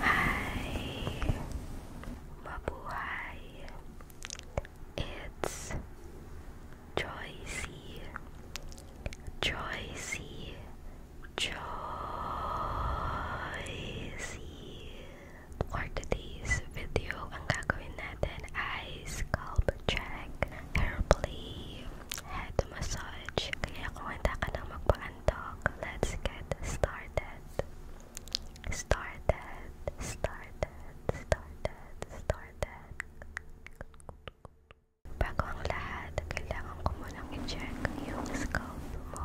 Hi, mabuhay. It's Joycey, Joycey, Joycey. For today's video, ang gagawin natin ay scalp check, hair play, head massage. Kaya kung handa ka nang magpa Let's get started. Started, started, started, started. Bago lahat, kailangan ko munang i-check yung scope mo.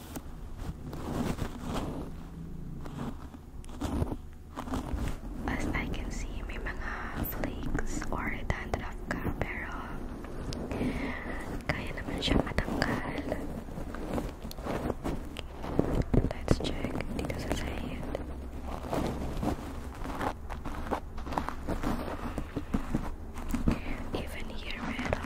As I can see, may flakes or dandruff ka, pero kaya naman siya matanggal. Let's check dito sa side. Even here meron.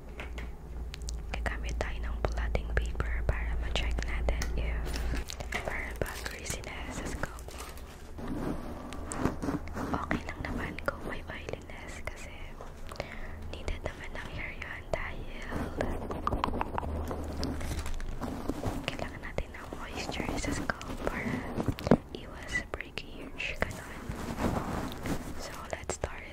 gagamit tayo ng blotting paper para ma natin if para ba greasy sa scalp okay lang naman kung may oiliness kasi needed naman ng hair yun dahil kailangan natin ng moisture sa scalp para iwas breakage ganun so let's start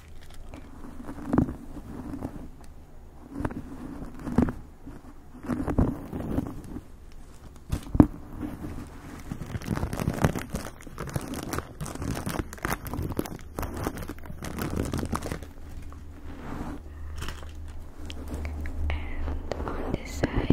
And on this side.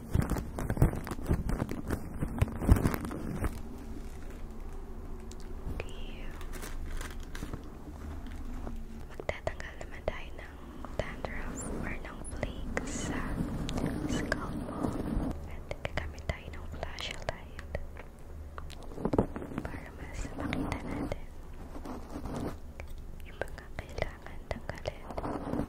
Okay. Magtatanggal naman tayo ng dandruff or ng flakes sa scalp mo. At gagamit tayo ng flashlight para mas makita natin yung mga kailangan tanggalin.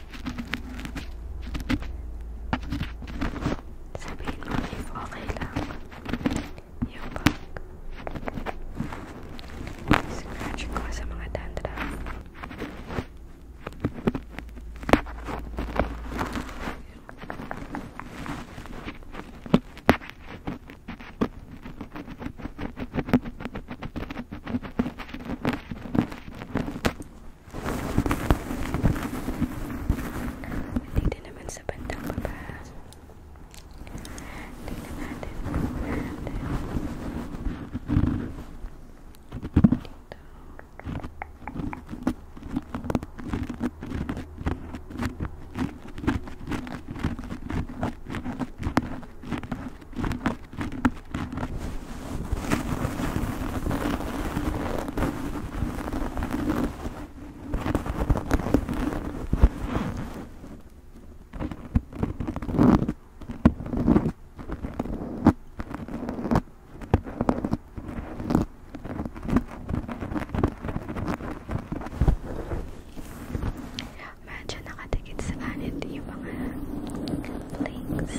Sabine lief al heel lang. Heel bang. Scratch ko sa mga dandruff. Dito naman sa bandang baba. Tignan natin. natin. Dito. Ayan. Medyo nakatikit sa anit yung mga links.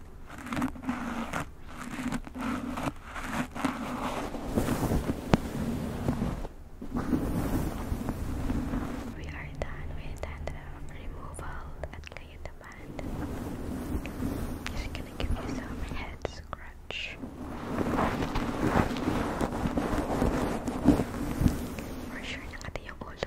We are done with um, the removal at Kayuta Band. Just gonna give you some head scratch. For sure nakati yung all oh,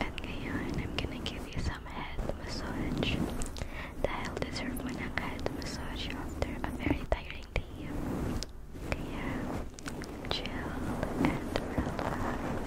At ngayon, I'm gonna give you some head massage The dahil deserve mo ng head massage after a very tiring day. Kaya, chill and relax.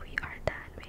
We are done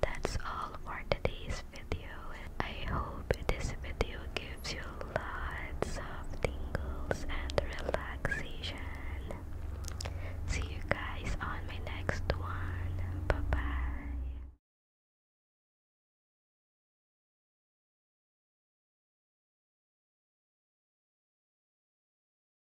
That's all for today's video. I hope this video gives you lots of tingles and relaxation. See you guys on my next one. Bye bye.